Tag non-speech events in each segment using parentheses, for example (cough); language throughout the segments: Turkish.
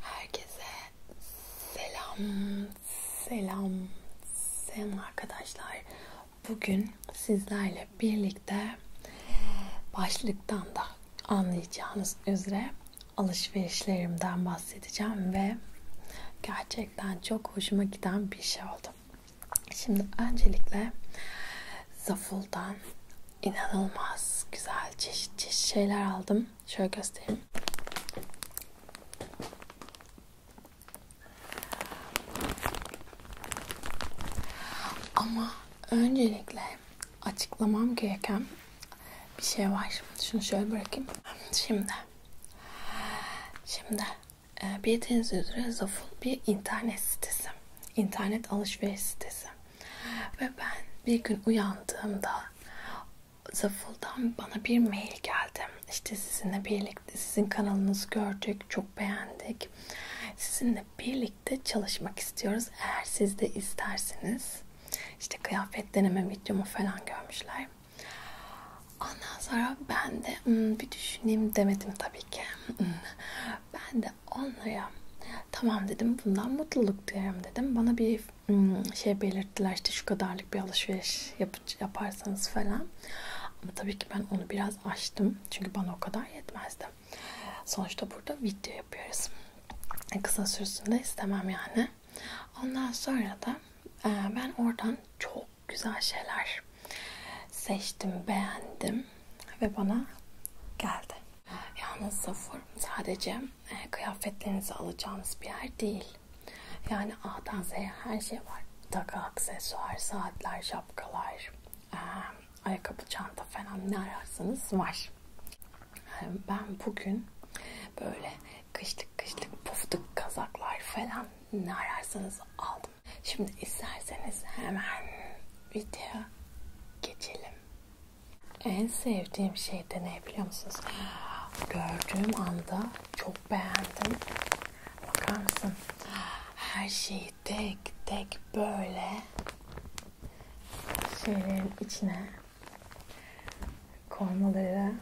Herkese selam, selam, selam arkadaşlar. Bugün sizlerle birlikte başlıktan da anlayacağınız üzere alışverişlerimden bahsedeceğim ve gerçekten çok hoşuma giden bir şey oldu. Şimdi öncelikle Zaful'dan inanılmaz güzel çeşit çeşit şeyler aldım. Şöyle göstereyim. Ama öncelikle açıklamam gereken bir şey var. Şunu şöyle bırakayım. Şimdi. Şimdi ee, Bildiğiniz üzere Zaful bir internet sitesi. internet alışveriş sitesi. Ve ben bir gün uyandığımda Zaful'dan bana bir mail geldi. İşte sizinle birlikte sizin kanalınızı gördük, çok beğendik. Sizinle birlikte çalışmak istiyoruz. Eğer siz de isterseniz işte kıyafet deneme videomu falan görmüşler. Ondan sonra ben de hmm, bir düşüneyim demedim tabii ki. Hmm. Ben de onlara tamam dedim bundan mutluluk duyarım dedim. Bana bir hmm, şey belirttiler işte şu kadarlık bir alışveriş yap yaparsanız falan. Ama tabii ki ben onu biraz açtım. Çünkü bana o kadar yetmezdi. Sonuçta burada video yapıyoruz. E, kısa sürsün de istemem yani. Ondan sonra da ben oradan çok güzel şeyler seçtim, beğendim ve bana geldi. Yalnız Safur sadece e, kıyafetlerinizi alacağınız bir yer değil. Yani A'dan Z'ye her şey var. Takı, aksesuar, saatler, şapkalar, e, ayakkabı, çanta falan ne ararsanız var. E, ben bugün böyle kışlık kışlık puftuk kazaklar falan ne ararsanız aldım. Şimdi isterseniz hemen video geçelim. En sevdiğim şey de ne biliyor musunuz? Gördüğüm anda çok beğendim. Bakar mısın? Her şeyi tek tek böyle şeylerin içine koymaları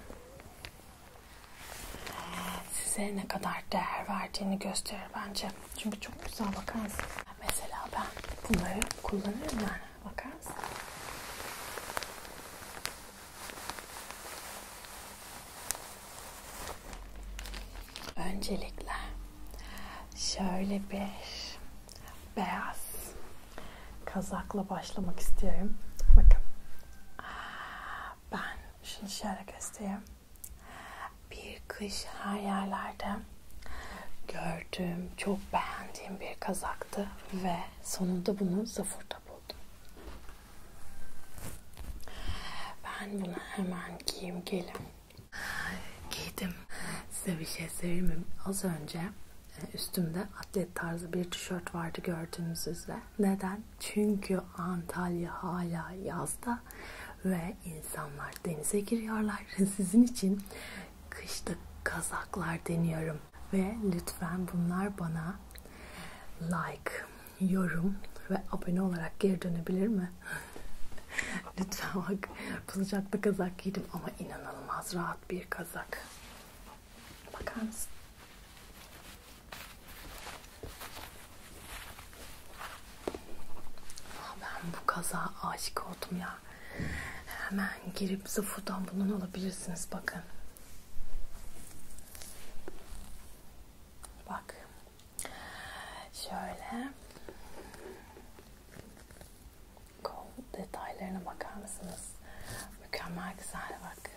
size ne kadar değer verdiğini gösterir bence. Çünkü çok güzel bakar mısın? Mesela ben bunları kullanıyorum yani. Bakar mısın? Öncelikle şöyle bir beyaz kazakla başlamak istiyorum. Bakın. Ben şunu şöyle göstereyim. Bir kış her yerlerde gördüğüm, çok beğendiğim bir kazaktı ve sonunda bunu Zafur'da buldum. Ben bunu hemen giyim gelim. Giydim. Size bir şey söyleyeyim Az önce e, üstümde atlet tarzı bir tişört vardı gördüğünüz üzere. Neden? Çünkü Antalya hala yazda ve insanlar denize giriyorlar. (laughs) Sizin için kışta kazaklar deniyorum. Ve lütfen bunlar bana like, yorum ve abone olarak geri dönebilir mi? (laughs) lütfen bak sıcakta kazak giydim ama inanılmaz rahat bir kazak. Bakar mısın? Ben bu kaza aşık oldum ya. Hemen girip sıfırdan bundan alabilirsiniz bakın. Bak. Şöyle. Kol detaylarına bakar mısınız? Mükemmel güzel bak.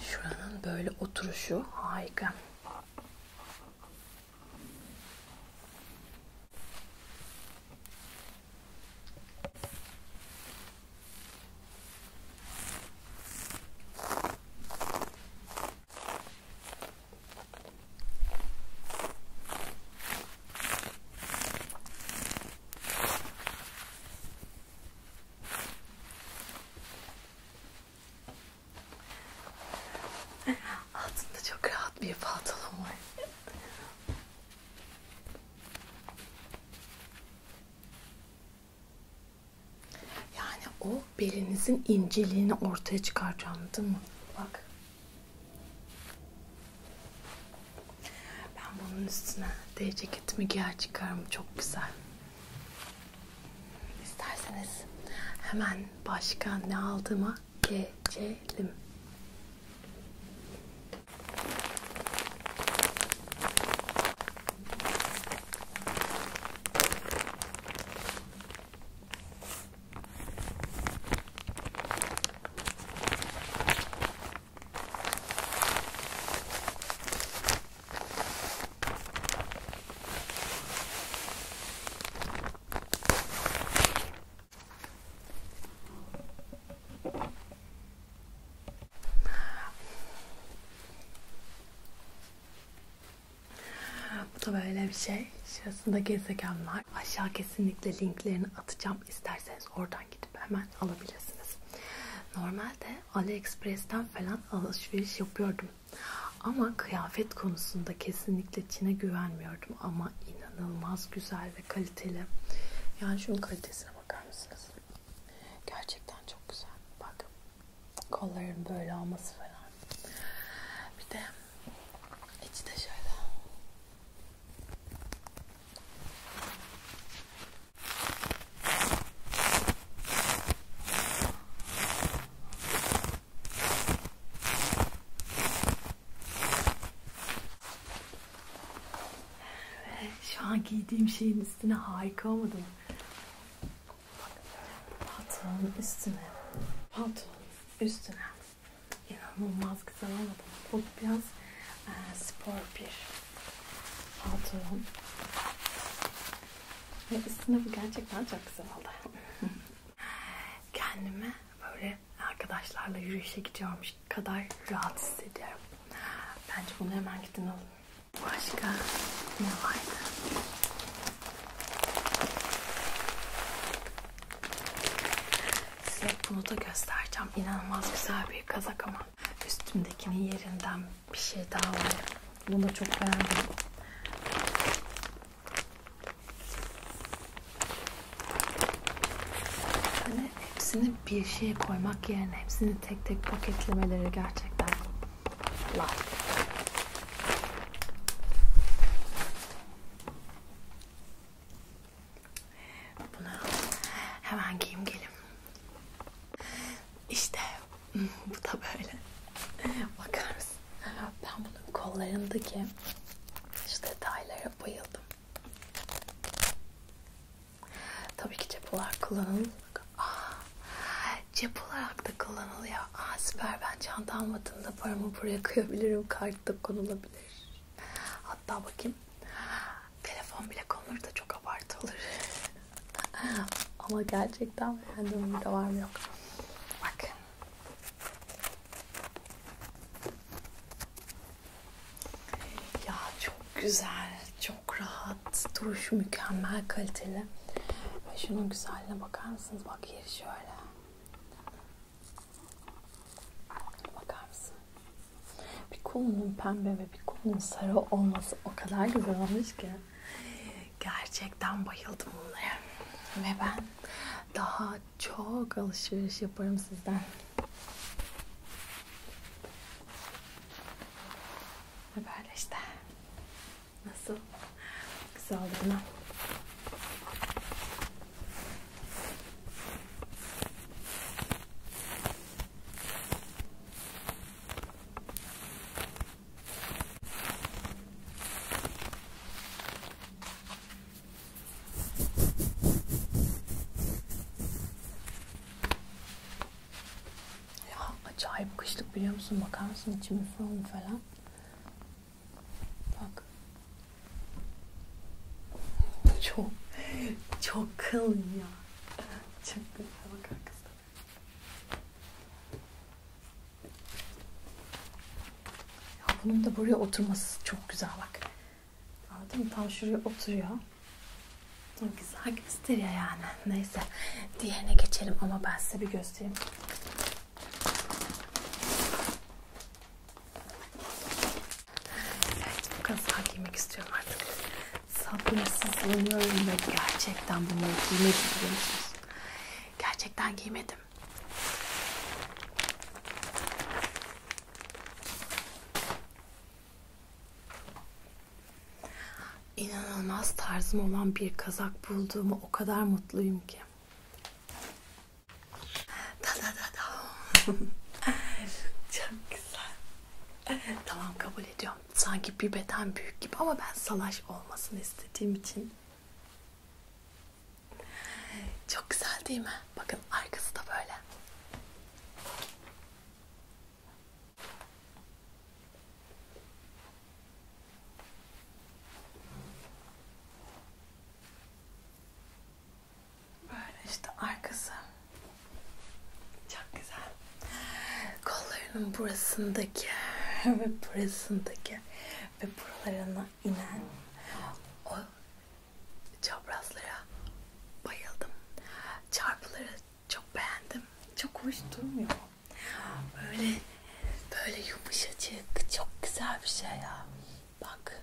Şuranın böyle oturuşu harika. Altında çok rahat bir pantolon var. Yani o belinizin inceliğini ortaya çıkaracağım değil mi? Bak. Ben bunun üstüne D ceketimi giyer çıkarım. Çok güzel. İsterseniz hemen başka ne aldığıma geçelim. Bu da böyle bir şey. Şurasında gezegenler. Aşağı kesinlikle linklerini atacağım. İsterseniz oradan oradan gidip hemen alabilirsiniz. Normalde AliExpress'ten falan alışveriş yapıyordum. Ama kıyafet konusunda kesinlikle Çin'e güvenmiyordum. Ama inanılmaz güzel ve kaliteli. Yani şunun kalitesine bakar mısınız? Gerçekten çok güzel. Bak kolların böyle olması falan. Bir de içi de şöyle şu an giydiğim şeyin üstüne harika olmadı mı? Pantolonun üstüne. Pantolonun üstüne. İnanılmaz güzel ama bu biraz e, spor bir pantolon. Ve üstüne bu gerçekten çok güzel oldu. (laughs) Kendimi böyle arkadaşlarla yürüyüşe gidiyormuş kadar rahat hissediyorum. Bence bunu hemen gidin alın. Başka ne vardı? Size bunu da göstereceğim. İnanılmaz güzel bir kazak ama üstümdekinin yerinden bir şey daha var. Bunu da çok beğendim. Hani hepsini bir şeye koymak yerine hepsini tek tek paketlemeleri gerçekten like. Bunu hemen giyim gelim. İşte (laughs) bu da böyle. Bakar mısın? Ben bunun kollarındaki şu detaylara bayıldım. Tabii ki cephalar kullanılır. Aa, ah, cep olarak da kullanılıyor. Aa, ah, süper ben çanta almadığımda paramı buraya koyabilirim. Kart da konulabilir. Hatta bakayım. Telefon bile konur da çok abartı olur. (laughs) Ama gerçekten beğendim. Burada var mı yok. Bak. Ya çok güzel. Çok rahat. Duruşu mükemmel kaliteli. Ve şunun güzelliğine bakar mısınız? Bak yeri şöyle. Bakar mısın? Bir kolunun pembe ve bir kolunun sarı olması o kadar güzel olmuş ki. Gerçekten bayıldım bunlara. Ve ben daha çok alışveriş yaparım sizden. Ve böyle işte. Nasıl? Güzel değil mi? Ya acayip kışlık biliyor musun? Bakar mısın içimi falan falan. Bak Çok, çok kalın ya. Çok güzel bakar kızlar. Ya bunun da buraya oturması çok güzel bak. Anladın mı? Tam şuraya oturuyor. Çok güzel gösteriyor yani. Neyse. Diğerine geçelim ama ben size bir göstereyim. Evet, bu kazağı giymek istiyorum artık. Sabırsızlanıyorum ve gerçekten bunları giymedim biliyor musunuz? Gerçekten giymedim. inanılmaz tarzım olan bir kazak bulduğumu o kadar mutluyum ki. Da da da da. Çok güzel. tamam kabul ediyorum. Sanki bir beden büyük gibi ama ben salaş olmasını istediğim için. Çok güzel değil mi? Bakın arkası da böyle. Böyle işte arkası. Çok güzel. Kollarının burasındaki (laughs) ve burasındaki ve buralarına inen o çaprazlara bayıldım. Çarpıları çok beğendim. Çok hoş durmuyor. Böyle böyle yumuşacık çok güzel bir şey ya. Bak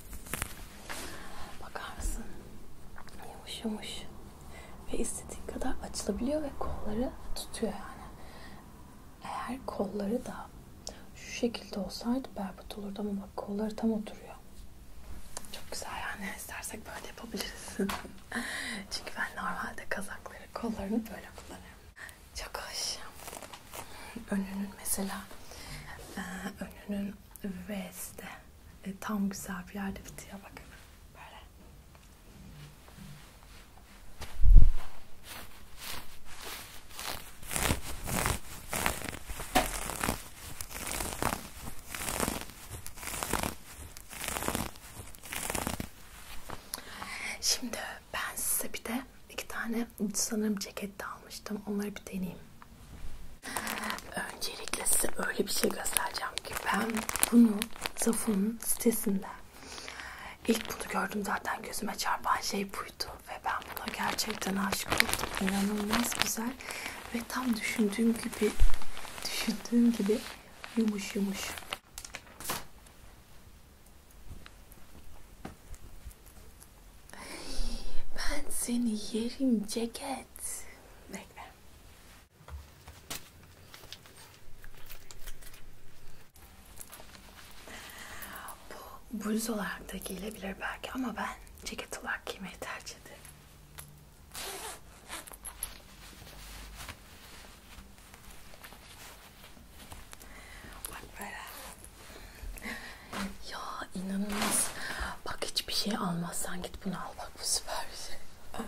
Bakar mısın? Yumuş yumuş. Ve istediğin kadar açılabiliyor ve kolları tutuyor yani. Eğer kolları da şu şekilde olsaydı berbat olurdu ama bak kolları tam oturuyor. Çok güzel yani. İstersek böyle yapabiliriz. (laughs) Çünkü ben normalde kazakları kollarını böyle kullanıyorum. Çok hoş önünün mesela e, önünün V'si e, tam güzel bir yerde bitiyor bak böyle Şimdi ben size bir de iki tane tane sanırım ceket de almıştım. Onları bir deneyeyim. Öncelikle size öyle bir şey göstereceğim ki ben bunu Zafun'un sitesinden İlk bunu gördüm zaten gözüme çarpan şey buydu ve ben buna gerçekten aşık oldum. İnanılmaz güzel ve tam düşündüğüm gibi düşündüğüm gibi yumuş yumuş. Ben seni yerim ceket. Bekle. Bu bluz olarak da giyilebilir belki ama ben ceket olarak giymeyi tercih ederim. Bak böyle. Ya inanılmaz. Bak hiçbir şey almazsan git bunu al. Bak bu süper bir şey.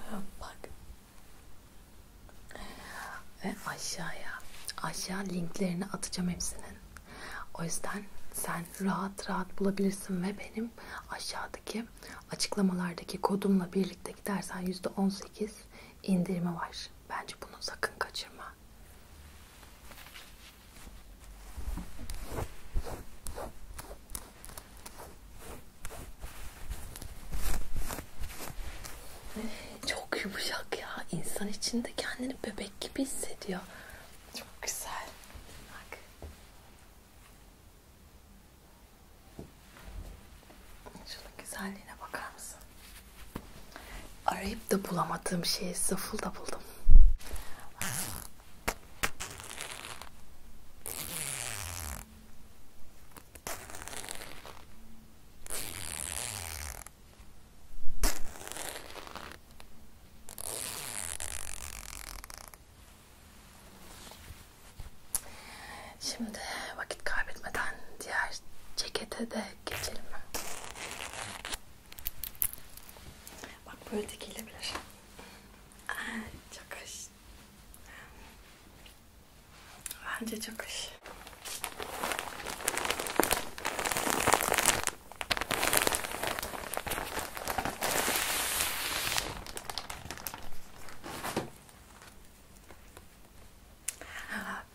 (laughs) Bak. Ve aşağıya. Aşağı linklerini atacağım hepsinin. O yüzden sen rahat rahat bulabilirsin ve benim aşağıdaki açıklamalardaki kodumla birlikte gidersen %18 indirimi var. Bence bunu sakın kaçırma. Çok yumuşak ya. İnsan içinde kendini bebek gibi hissediyor. Çok güzel. Bak. Şunun güzelliğine bakar mısın? arayıp da bulamadığım şeyi sıfırda buldum. Şimdi vakit kaybetmeden diğer cekete de geçelim. Bak böyle dikilebilir. Şey. Ah, çok hoş. Bence çok hoş.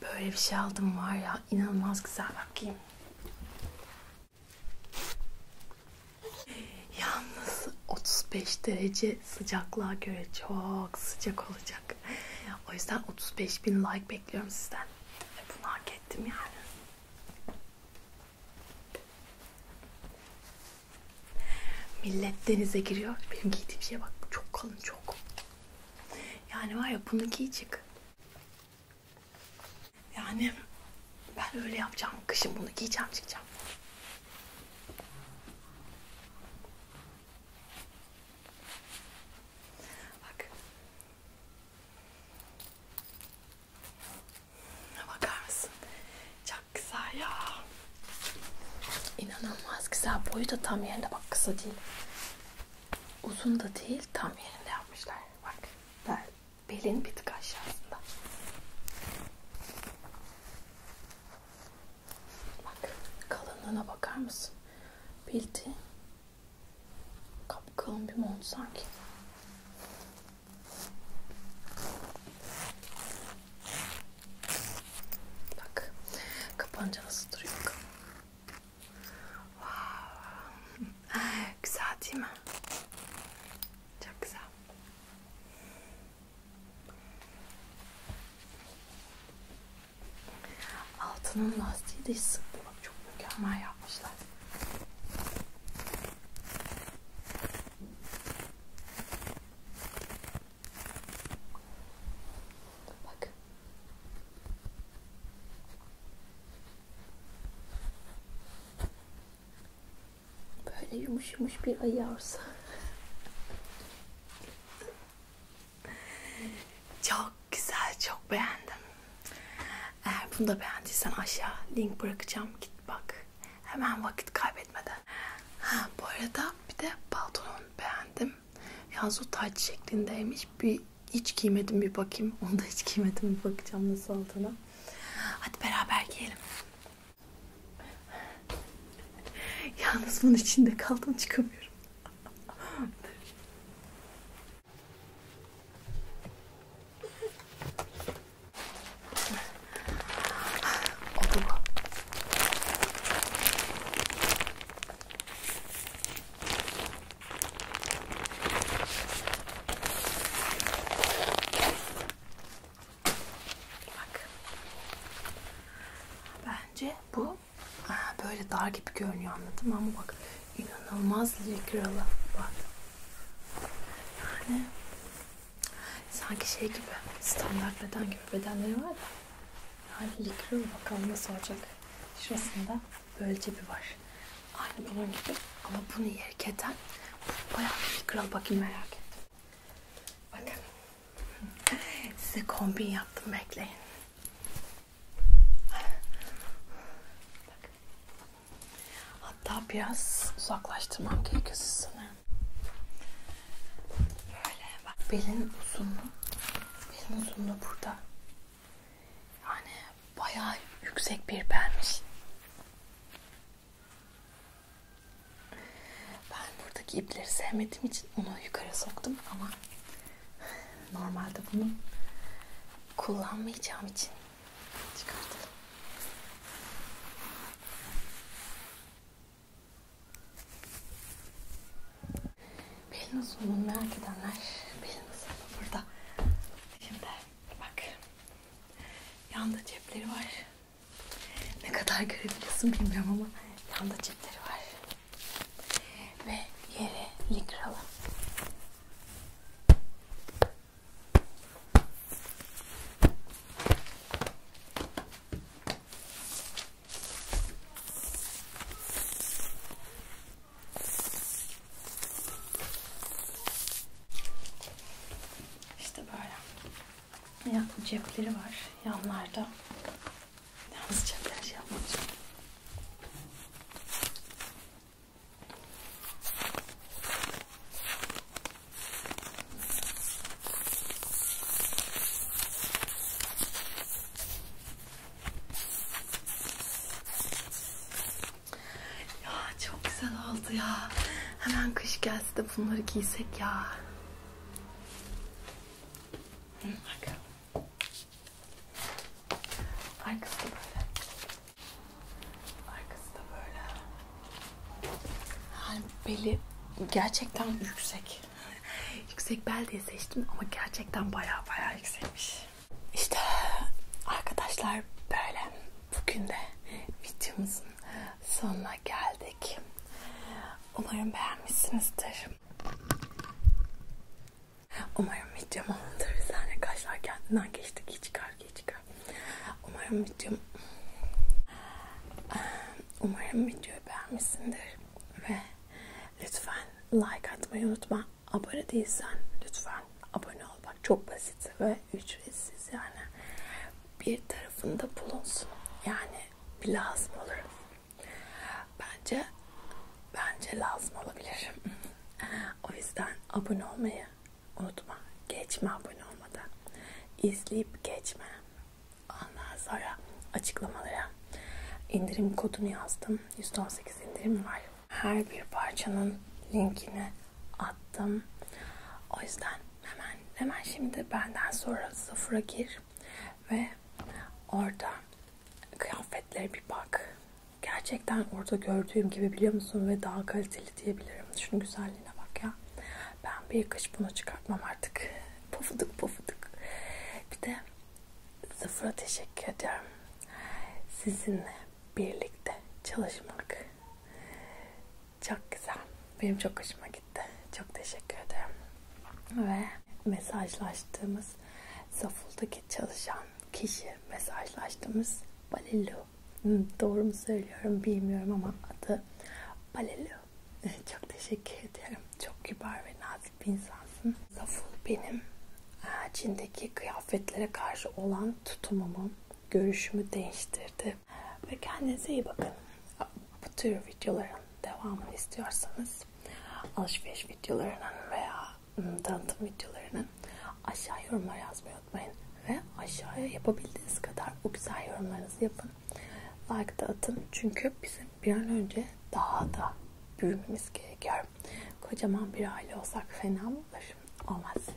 Böyle bir şey aldım var ya inanılmaz güzel bakayım. Yalnız 35 derece sıcaklığa göre çok sıcak olacak. O yüzden 35 bin like bekliyorum sizden. Ve bunu hak ettim yani. Millet denize giriyor. Benim giydiğim şeye bak. Çok kalın çok. Yani var ya bunu giyecek. Yani ben öyle yapacağım. Kışın bunu giyeceğim çıkacağım. Bak. Bakar mısın? Çok güzel ya. İnanılmaz güzel. Boyu da tam yerinde. Bak kısa değil. Uzun da değil. Tam yerinde yapmışlar. Bak. Ben Belin bir tık aşağısında. Bak kalınlığına bakar mısın? Bildi. Kapkalın bir mont sanki. Bak kapanca nasıl duruyor bakalım. Wow. Güzel değil mi? Çok güzel. Altının lastiği de hiç sıktı. Bak çok mükemmel yapmışlar. Bak. Böyle yumuş yumuş bir ayı yavrusu. Çok güzel, çok beğendim. Eğer bunu da beğendiysen aşağı link bırakacağım. Git bak. Hemen vakit kaybetmeden. Ha, bu arada bir de paltonun beğendim. Yalnız o taç şeklindeymiş. Bir hiç giymedim bir bakayım. (laughs) Onu da hiç giymedim bir bakacağım nasıl altına. Hadi beraber giyelim. (laughs) Yalnız bunun içinde kaldım çıkamıyorum. Bak. Bence bu böyle dar gibi görünüyor anladım ama bak inanılmaz likralı. Bak. Yani sanki şey gibi standart beden gibi bedenleri var da yani likralı bakalım nasıl olacak. Şurasında böyle cebi var. Aynı bunun gibi ama bunu yerketen bu bayağı bir kral bakayım merak ettim. Bakın (laughs) size kombin yaptım bekleyin. Bakın. Hatta biraz uzaklaştırmam gerekiyor sanırım. Böyle bak belin uzunluğu. Belin uzunluğu burada. Yani bayağı yüksek bir permiş. Ben buradaki ipleri sevmediğim için onu yukarı soktum ama normalde bunu kullanmayacağım için çıkartalım. Pelin uzunluğunu merak edenler Pelin uzunluğu burada. Şimdi bak Yanda cepleri var. Ne kadar görebiliyorsun bilmiyorum ama yanda cepleri var. Ve yere likralı. İşte böyle. Ya, cepleri var yanlarda. Yalnız cepleri şey yapmayacağım. Ya çok güzel oldu ya. Hemen kış gelse de bunları giysek ya. Bak. Arkası da böyle. Arkası da böyle. Yani beli gerçekten yüksek. (laughs) yüksek bel diye seçtim ama gerçekten baya baya yüksekmiş. İşte arkadaşlar böyle bugün de videomuzun sonuna geldik. Umarım beğenmişsinizdir. Umarım videomu bir saniye kaşlar kendinden geçti ki çıkar ki çıkar. Umarım videom Umarım videoyu beğenmişsindir ve lütfen like atmayı unutma abone değilsen lütfen abone ol. Bak çok basit ve ücretsiz yani. Bir tarafında bulunsun. Yani bir lazım olur. Bence bence lazım olabilir. (laughs) o yüzden abone olmayı unutma. Geçme abone olmadan. İzleyip geçme. Ondan sonra açıklamalara indirim kodunu yazdım. %18 indirim var her bir parçanın linkini attım. O yüzden hemen hemen şimdi benden sonra sıfıra gir ve orada kıyafetlere bir bak. Gerçekten orada gördüğüm gibi biliyor musun ve daha kaliteli diyebilirim. Şunun güzelliğine bak ya. Ben bir kış bunu çıkartmam artık. (laughs) Pufuduk pufuduk. Bir de sıfıra teşekkür ediyorum. Sizinle birlikte çalışmak çok güzel. Benim çok hoşuma gitti. Çok teşekkür ederim. Ve mesajlaştığımız Saful'daki çalışan kişi mesajlaştığımız Balelu. Doğru mu söylüyorum bilmiyorum ama adı Balelu. (laughs) Çok teşekkür ederim. Çok kibar ve nazik bir insansın. Saful benim e, Çin'deki kıyafetlere karşı olan tutumumu görüşümü değiştirdi. Ve kendinize iyi bakın. Bu tür videoların devamını istiyorsanız alışveriş videolarının veya ıı, tanıtım videolarının aşağı yorumlar yazmayı unutmayın. Ve aşağıya yapabildiğiniz kadar o güzel yorumlarınızı yapın. Like da atın. Çünkü bizim bir an önce daha da büyümemiz gerekiyor. Kocaman bir aile olsak fena mı olur? Olmaz.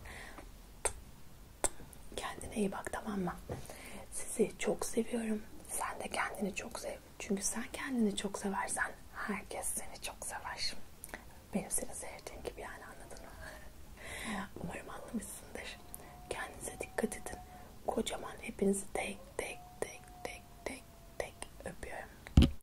Kendine iyi bak tamam mı? Sizi çok seviyorum. Sen de kendini çok sev. Çünkü sen kendini çok seversen herkes seni çok sever. Benim seni sevdiğim gibi yani anladın mı? (laughs) Umarım anlamışsındır. Kendinize dikkat edin. Kocaman hepinizi tek tek tek tek tek tek öpüyorum.